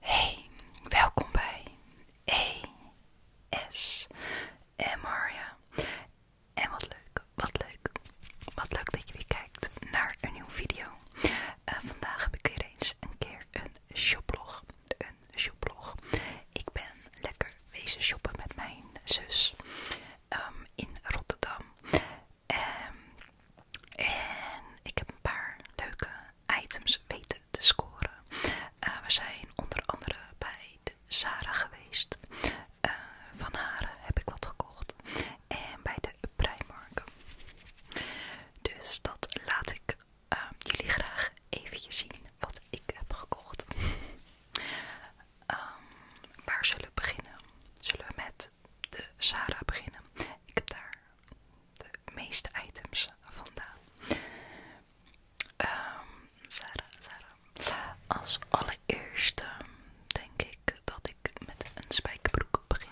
Hey, welkom bij ASMR. Ja. En wat leuk, wat leuk, wat leuk dat je weer kijkt naar een nieuwe video. Eh, vandaag heb ik weer eens een keer een shoplog. Een shoplog. Ik ben lekker wezen shoppen met mijn zus. Ehm, in Rotterdam. Ehm, en ik heb een paar leuke items weten te scoren. Eh, we zijn onder andere bij de Zara geweest. Eh, van haar heb ik wat gekocht. En bij de Primark. Dus dat laat ik ehm, jullie graag even zien wat ik heb gekocht. waar zullen we beginnen? Zullen we met de Sarah beginnen. Ik heb daar de meeste items vandaan. Ehm, Sarah, Sarah. Als allereerste denk ik dat ik met een spijkerbroek begin.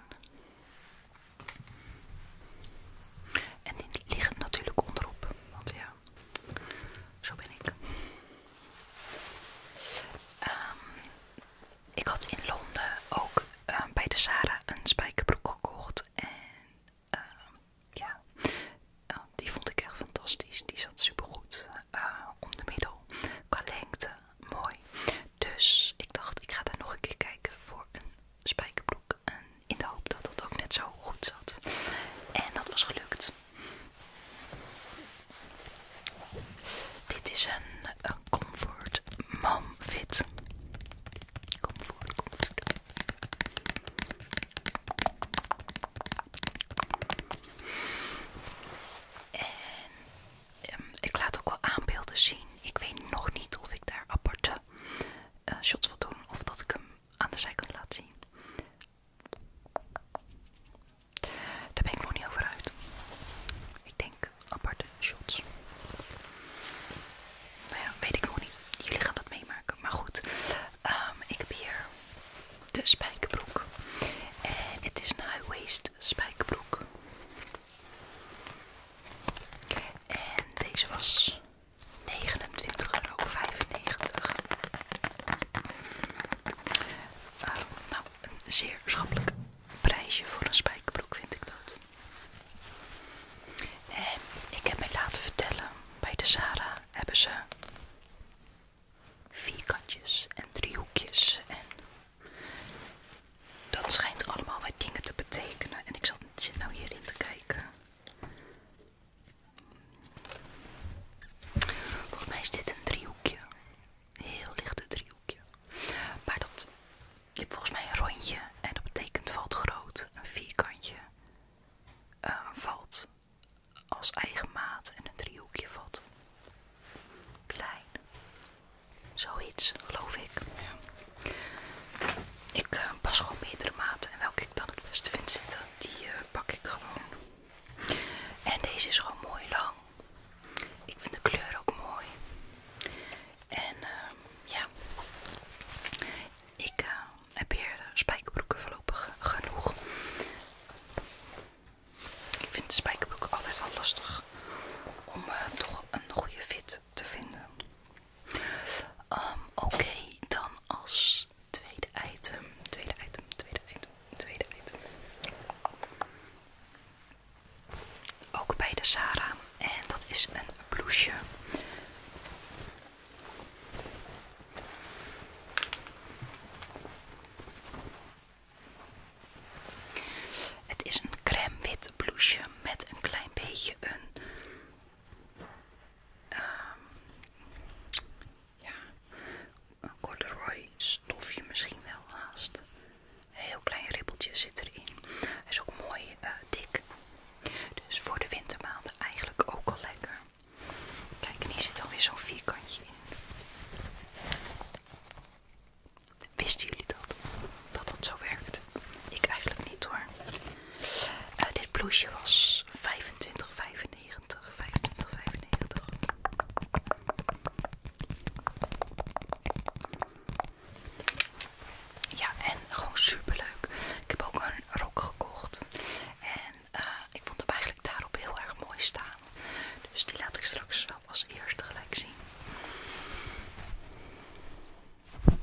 En die liggen natuurlijk onderop, want ja, zo ben ik. Ehm, ik had in Londen ook ehm, bij de Zara een spijkerbroek gekocht. En ehm, ja, eh, die vond ik echt fantastisch. Die zat supergoed goed eh, om de middel. Qua lengte, mooi. Dus ik dacht, ik ga daar nog een keer kijken voor een spijkerbroek. in de hoop dat dat ook net zo goed zat. En dat was gelukt. Dit is een, Comfort Mom Fit. Comfort, comfort. En ehm, ik laat ook wel aanbeelden zien. Ik weet nog niet of ik daar aparte eh, shots wil doen of dat ik hem aan de zijkant laat zien. Daar ben ik nog niet over uit. Ik denk aparte shots. Nou ja, weet ik nog niet. Jullie gaan dat meemaken. Maar goed, ehm, ik heb hier de spijkerbroek. En het is een high-waist spijkerbroek. En deze was 29,95 euro. Ehm, nou, een zeer schappelijk prijsje voor een spijkerbroek vind ik dat. En ik heb mij laten vertellen, bij de Zara hebben ze vierkantjes en driehoekjes en dat schijnt allemaal wat dingen te betekenen. En ik zit nou hierin te kijken. Volgens mij is dit een driehoekje heel lichte driehoekje. Maar dat, je hebt volgens mij een rondje en dat betekent valt groot. Een vierkantje eh, valt als eigen maat en een driehoekje valt klein. Zoiets, geloof ik. Ik eh, pas gewoon meerdere maten en welke ik dan het beste vind zitten, die eh, pak ik gewoon. En deze is gewoon mooi lang. Ik vind de kleur ook mooi. En ehm, ja, ik eh, heb hier spijkerbroeken voorlopig genoeg. Ik vind de altijd wel lastig om eh, toch een goede fit te vinden. Ehm, oké, dan als tweede item, tweede item, tweede item, tweede item. Ook bij de Sara En dat is een blousje. Het is een crème wit met een klein beetje een... Ehm, ja, een corduroy stofje misschien wel haast. Een heel klein ribbeltje zit erin. Hij is ook mooi eh, dik. Dus voor de wintermaanden eigenlijk ook al lekker. Kijk, en hier zit alweer zo'n vierkantje in. Wisten jullie dat? Dat dat zo werkt? Ik eigenlijk niet hoor. Eh, dit blouseje was 25,95. 25,95. Ja, en gewoon super leuk. Ik heb ook een rok gekocht. En eh, ik vond hem eigenlijk daarop heel erg mooi staan. Dus die laat ik straks wel als eerste gelijk zien.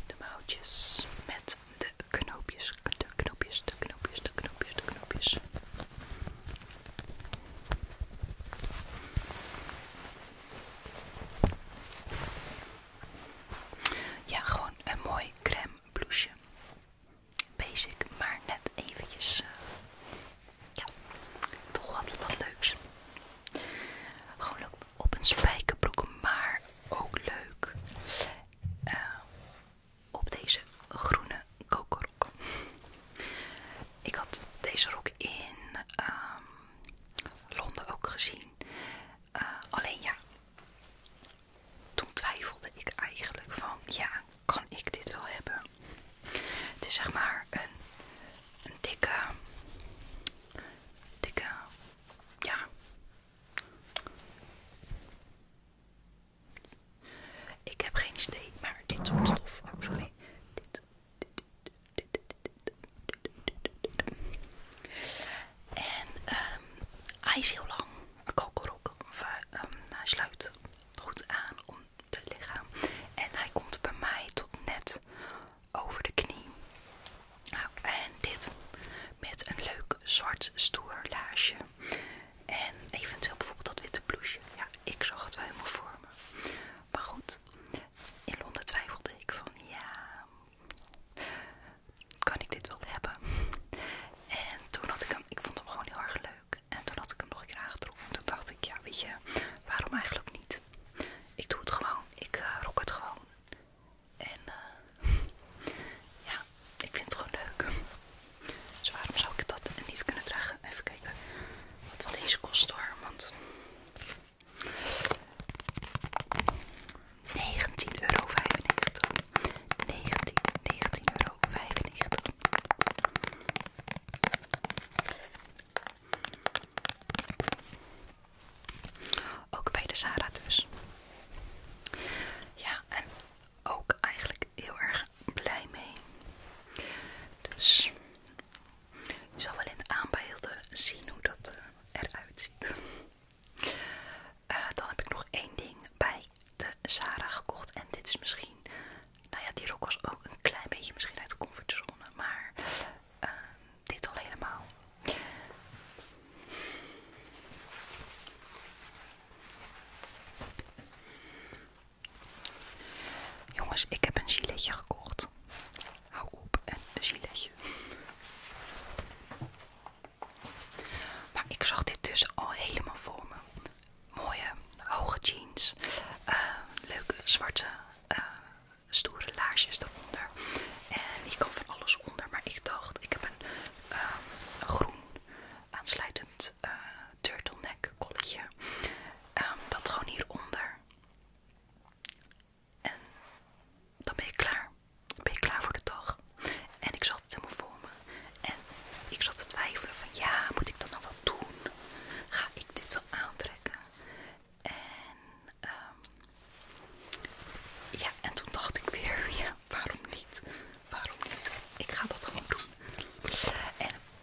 De mouwtjes met de knoopjes, de knoopjes, de knoopjes, de knoopjes, de knoopjes. Ja, gewoon een mooi crème blouseje. Basic, maar net eventjes. Eh, ja, toch wat, leuks. Gewoon leuk op een spijkerbroek, maar ook leuk eh, op deze groene kokorok. Ik had deze rok in ehm, Londen ook gezien. Eh, alleen ja, toen twijfelde ik eigenlijk van ja, kan ik dit wel hebben? Het is zeg maar een, een dikke, dikke, ja. Ik heb geen idee, maar dit soort stof, oh sorry, dit en ehm, hij is heel lang. Een kokelrok ehm, hij sluit goed aan om te liggen. En hij komt bij mij tot net over de knie. Nou, en dit met een leuk zwart stoer laarsje. En eventueel bijvoorbeeld dat witte blouseje. Ja, ik zag het wel helemaal voor me. Maar goed, in Londen twijfelde ik van ja, kan ik dit wel hebben? En toen had ik hem, ik vond hem gewoon heel erg leuk. En toen had ik hem nog een keer aangetroffen. En toen dacht ik, ja weet je, waarom eigenlijk niet? Ik doe het gewoon, ik eh, rok het gewoon. En eh, ja, ik vind het gewoon leuk. Dus waarom zou ik dat niet kunnen dragen? Even kijken wat deze kost hoor, want 19,95 euro. 19, 19 euro 95. Ook bij de Sara dus. Ja, en ook eigenlijk heel erg blij mee. Dus je zal wel in de aanbeelden zien hoe dat eh, eruit ziet. Eh, dan heb ik nog één ding bij de Zara gekocht. En dit is misschien... Nou ja, die rok was ook een klein beetje misschien uit de comfortzone. Maar ehm, dit al helemaal. Jongens, ik heb een giletje gekocht. Hou op, een giletje. Maar ik zag dit dus al helemaal voor me. Mooie, hoge jeans. Eh, leuke, zwarte, eh, stoere laarsjes eronder. En ik kan van alles onder, maar ik dacht, ik heb een, eh, groen aansluitend uh, turtleneck kolletje. Ehm, dat gewoon hieronder. En dan ben ik klaar. ben je klaar voor de dag. En ik zat het helemaal voor me. En ik zat te twijfelen van ja, moet ik dat nou wel doen? Ga ik dit wel aantrekken? En ehm, ja, en toen dacht ik weer, ja, waarom niet? Waarom niet? Ik ga dat gewoon doen. En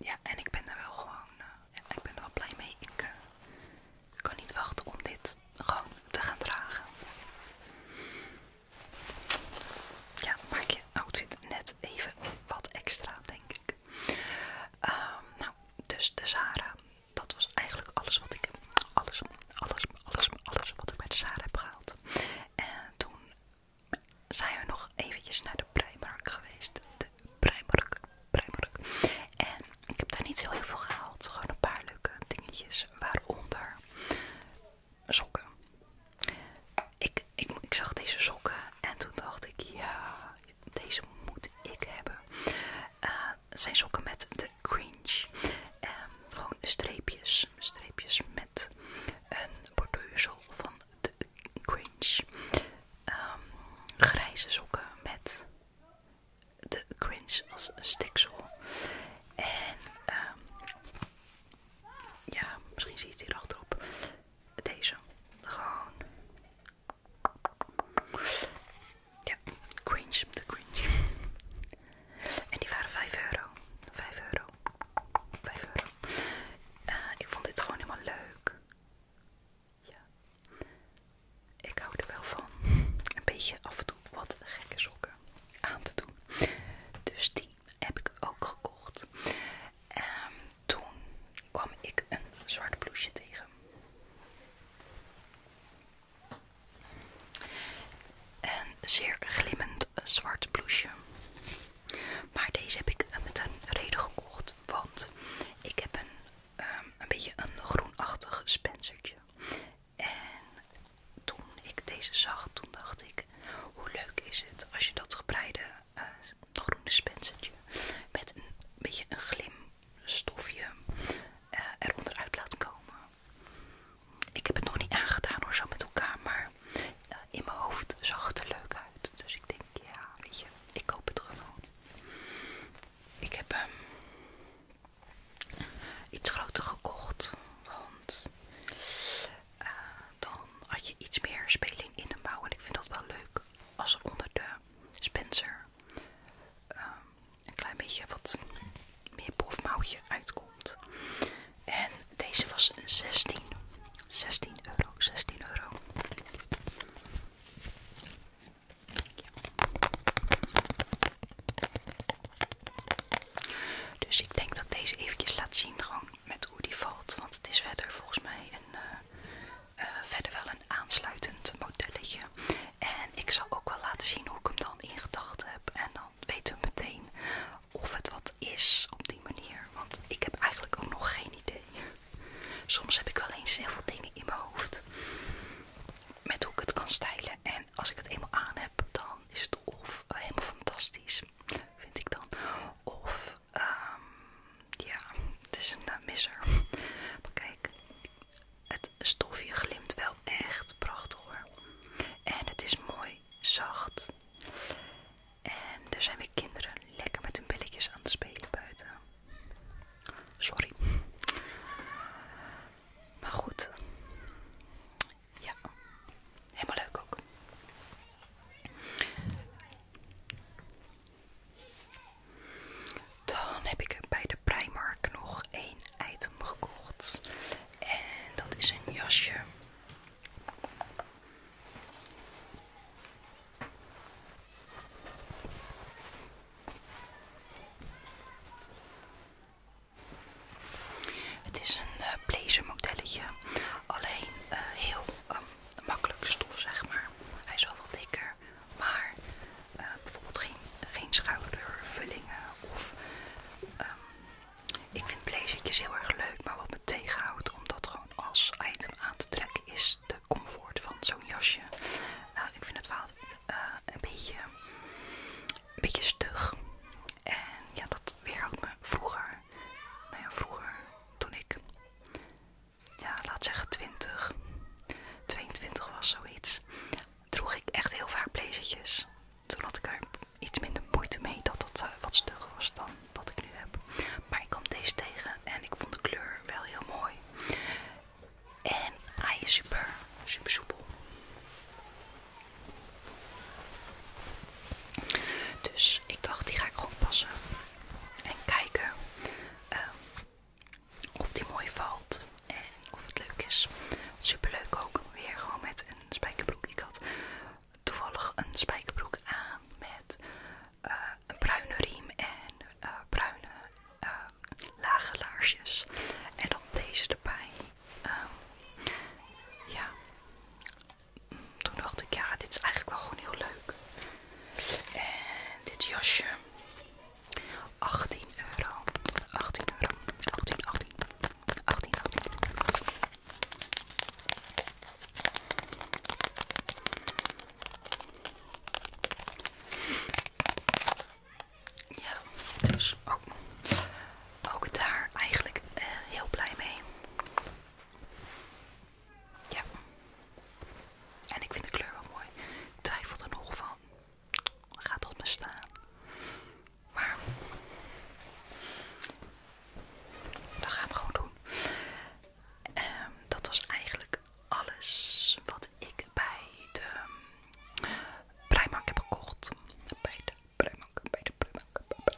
Ja, en ik ben er wel gewoon, eh, ik ben er wel blij mee. Ik eh, kan niet wachten om dit gewoon te gaan dragen. Ja, maak je outfit net even wat extra, denk ik. Ehm, nou, dus de Sara. Dat was eigenlijk alles wat ik, alles, alles, alles, alles wat ik bij de Sara heb gehaald. En toen zijn we nog eventjes naar de Primark geweest. De Primark, Primark. En ik heb daar niet heel heel veel gehaald. Gewoon een paar leuke dingetjes. Waaronder sokken. Ik, ik, ik zag deze sokken en toen dacht ik, ja, deze moet ik hebben. Eh, het zijn sokken met de cringe. Ehm, gewoon streepjes. Streepjes met een borduursel van de cringe. Ehm, grijze sokken met de cringe als stiksel. En ehm, ja, misschien zie je het hier achterop. Deze. Gewoon. Ja, cringe. De cringe. En die waren 5 euro. 5 euro. 5 euro. Eh, ik vond dit gewoon helemaal leuk. Ja. Ik hou er wel van. Een beetje af en toe wat gekke sokken aan te doen. Dus die heb ik ook gekocht. En ehm, toen kwam ik een zwart blouseje tegen. Een zeer glimmend zwart blouseje. Maar deze heb ik met een reden gekocht want ik heb ehm, een, beetje een groenachtig spencertje. En toen ik deze zag, toen dacht ik, hoe leuk is het als je dat gebreide eh, groene spencertje met een beetje een glimstofje stofje eh, eronder uit laat komen. Ik heb het nog niet aangedaan hoor, zo met elkaar, maar eh, in mijn hoofd zag het er leuk uit. Dus ik denk, ja, weet ik koop het er gewoon. Ik heb hem iets groter gekocht, want eh, dan had je iets meer speling in de mouw. En ik vind dat wel leuk als er onder de spencer ehm, een klein beetje wat meer bovenmouwtje uitkomt. En deze was een 16, 16 euro, 16 euro. Dus ik denk dat ik deze eventjes laat zien gewoon met hoe die valt. Want het is verder volgens mij een, eh, eh, verder wel een aansluitend modelletje. En ik zal ook wel laten zien hoe ik hem dan ingedacht heb. En dan weten we meteen of het wat is op die manier. Want ik heb eigenlijk ook nog geen idee. Soms heb ik wel eens heel veel dingen in mijn hoofd met hoe ik het kan stylen. En als ik het eenmaal aan heb, dan is het of eh, helemaal fantastisch, vind ik dan. Of, ehm, ja, het is een eh, miser. Maar kijk, het stofje glimt wel echt prachtig hoor. En het is mooi zacht. En er zijn weer kinderen lekker met hun belletjes aan het spelen buiten. Sorry. Maar goed. Ja. Helemaal leuk ook. Dan heb ik bij de Primark nog één item gekocht. En dat is een jasje. Het is een eh, blazer modelletje, alleen eh, heel ehm, makkelijk stof zeg maar. Hij is wel wat dikker, maar eh, bijvoorbeeld geen, geen schoudervullingen of... Ehm, ik vind blazertjes heel erg leuk, maar wat me tegenhoudt om dat als item aan te trekken is de comfort van zo'n jasje. Nou, ik vind het wel eh, een, beetje, een beetje stug. En ja, dat weerhoudt me vroeger. Nou ja, vroeger toen ik, ja, laat zeggen 20, 22 was zoiets, droeg ik echt heel vaak blazertjes. Toen had ik er iets minder moeite mee dat dat eh, wat stug was dan dat ik nu heb. Maar ik kwam deze tegen en ik vond de kleur wel heel mooi. En hij is super, super soepel. Dus ik dacht, die ga ik gewoon passen. En kijken ehm, of die mooi valt en of het leuk is. Super leuk ook. Weer gewoon met een spijkerbroek. Ik had toevallig een spijkerbroek aan met eh, een bruine riem en eh, bruine eh, lage laarsjes. En dan deze erbij. Ehm, ja. Mm, toen dacht ik, ja, dit is eigenlijk wel gewoon heel leuk. En dit jasje. 18 euro. 18 euro. 18, 18. 18, 18. Ja, dus ook, daar eigenlijk eh, heel blij mee. Ja. En ik vind de kleur wel mooi. Ik twijfel nog van. Gaat dat me staan? Maar dat gaan we gewoon doen. Ehm, dat was eigenlijk alles wat ik bij de Primark heb gekocht. Bij de Primark, bij de Primark,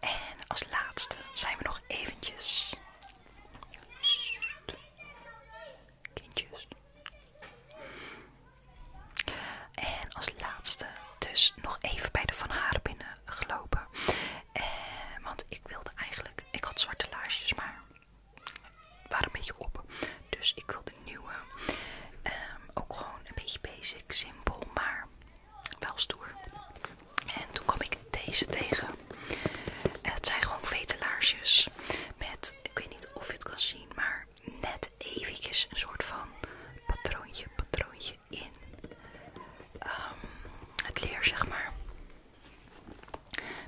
En als laatste zijn we nog eventjes... Kindjes. En als laatste dus nog even bij de Van Haar binnen gelopen. Eh, want ik wilde eigenlijk, ik had zwarte laarsjes, maar waren een beetje op. Dus ik wilde nieuwe. Ehm, ook gewoon een beetje basic, simpel, maar wel stoer. En toen kwam ik deze tegen. Het zijn gewoon laarsjes. met, ik weet niet of je het kan zien, maar net eventjes een soort van patroontje, patroontje in ehm, het leer, zeg maar.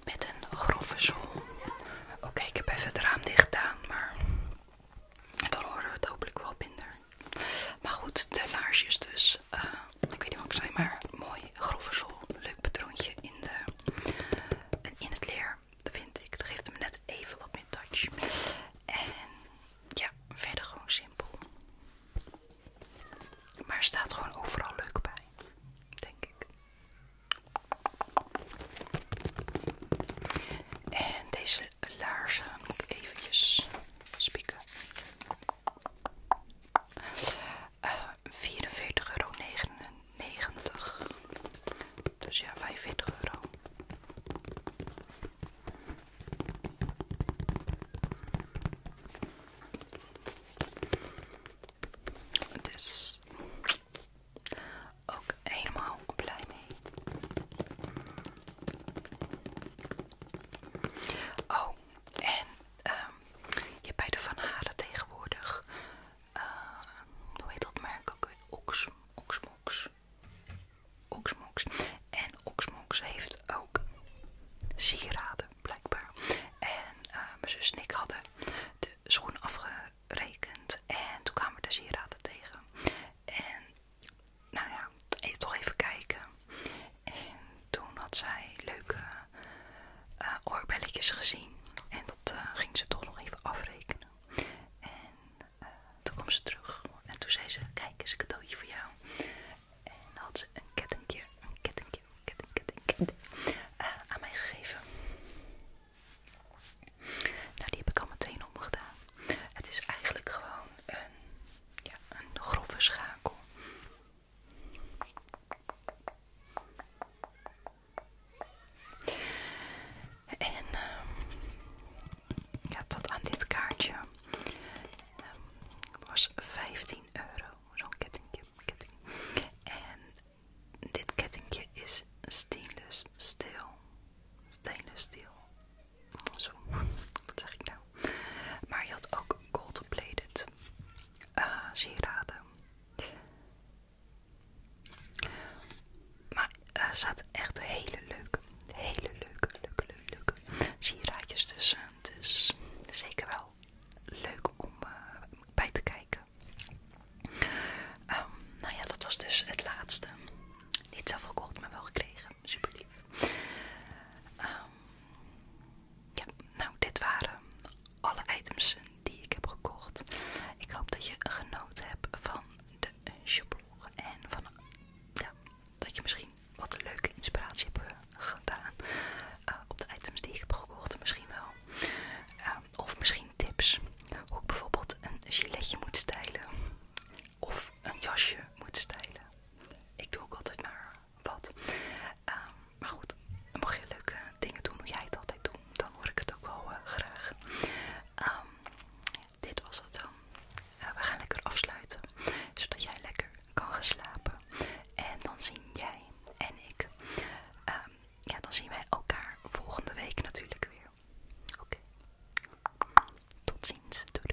Met een grove zool. Oké, ik heb even het raam dicht gedaan, maar dan horen we het hopelijk wel minder. Maar goed, de laarsjes dus. Eh, ik weet niet wat ik zei, maar mooi grove zool. Leuk patroontje in, de, in het leer, dat vind ik. Dat geeft hem net even wat meer touch. En ja, verder gewoon simpel. Maar staat gewoon overal leuk bij, denk ik. En deze laarzen moet ik spieken. Uh, eh, 44,99 euro. Dus ja, 45 euro. Dus ook helemaal blij mee. Oh, en ehm, je hebt bij de Van Haren tegenwoordig, eh, hoe heet dat merk ook? Ox, Oxmox. Oxmox. En Oxmox heeft ook sieraden blijkbaar. En eh, mijn zus en ik hadden de schoen afgerekend. En toen kwamen we de sieraden tegen. En nou ja, e-, toch even kijken. En toen had zij leuke eh, oorbelletjes gezien. En dat eh, ging ze toch nog even afrekenen. En toen kwam ze terug. En toen zei ze, kijk eens een cadeautje voor jou. En had ze een kettingje, een kettingje, ketting, ketting, ketting eh, aan mij gegeven. Nou, die heb ik al meteen opgedaan. Het is eigenlijk gewoon een, grove schakel. En ehm, ja, tot aan dit kaartje ehm, was 15 euro zo'n kettingje, ketting. En dit kettingje is stainless steel. Stainless steel. Zo, wat zeg ik nou? Maar je had ook gold plated eh, sieraden. Maar er eh, zaten echt hele leuke, hele leuke, leuke, leuke, leuke sieraadjes tussen. Dus zeker wel leuk om eh, bij te kijken. Ehm, nou ja, dat was dus het laatste. Niet zelf gekocht, maar wel gekregen. Super lief. Ehm, ja, nou, dit waren alle items die ik heb gekocht. Ik hoop dat je genoten hebt van de shoplog en van dat je misschien wat leuke inspiratie hebben gedaan eh, op de items die ik heb gekocht. Misschien wel. Eh, of misschien tips. Hoe ik bijvoorbeeld een giletje moet stijlen. Of een jasje moet stijlen. Ik doe ook altijd maar wat. Ehm, maar goed, dan je leuke dingen doen hoe jij het altijd doet. Dan hoor ik het ook wel eh, graag. Ehm, dit was het dan. we gaan lekker afsluiten. Zodat jij lekker kan gaan slapen. En dan zien jij en ik, ehm, ja, dan zien wij elkaar volgende week natuurlijk weer. Oké. Tot ziens. doei.